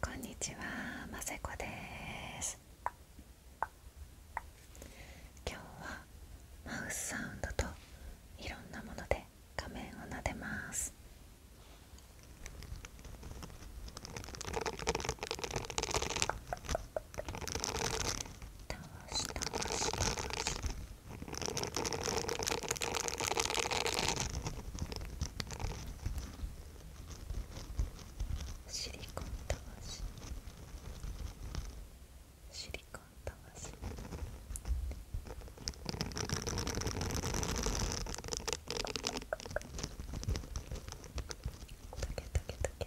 こんにちは、ませこです今日はマウスサウンドといろんなもので画面を撫でます倒し倒し倒シリコンたわしシリコンたわしとけとけとけとけとけとけとけとけとけ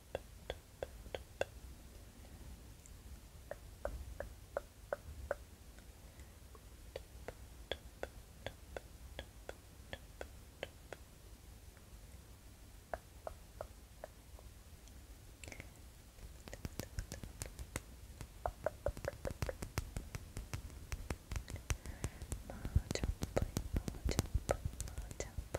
more jump, more jump, more jump,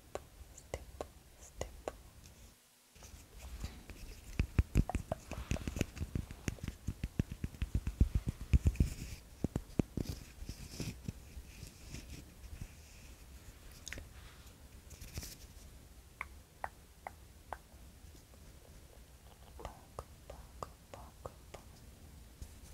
プステップステッパククパククパククパククパククパククパクク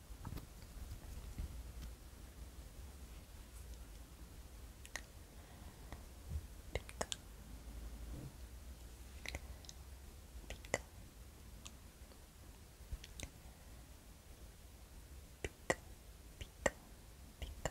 Пика. Пика. Пика. Пика. Пика. Пика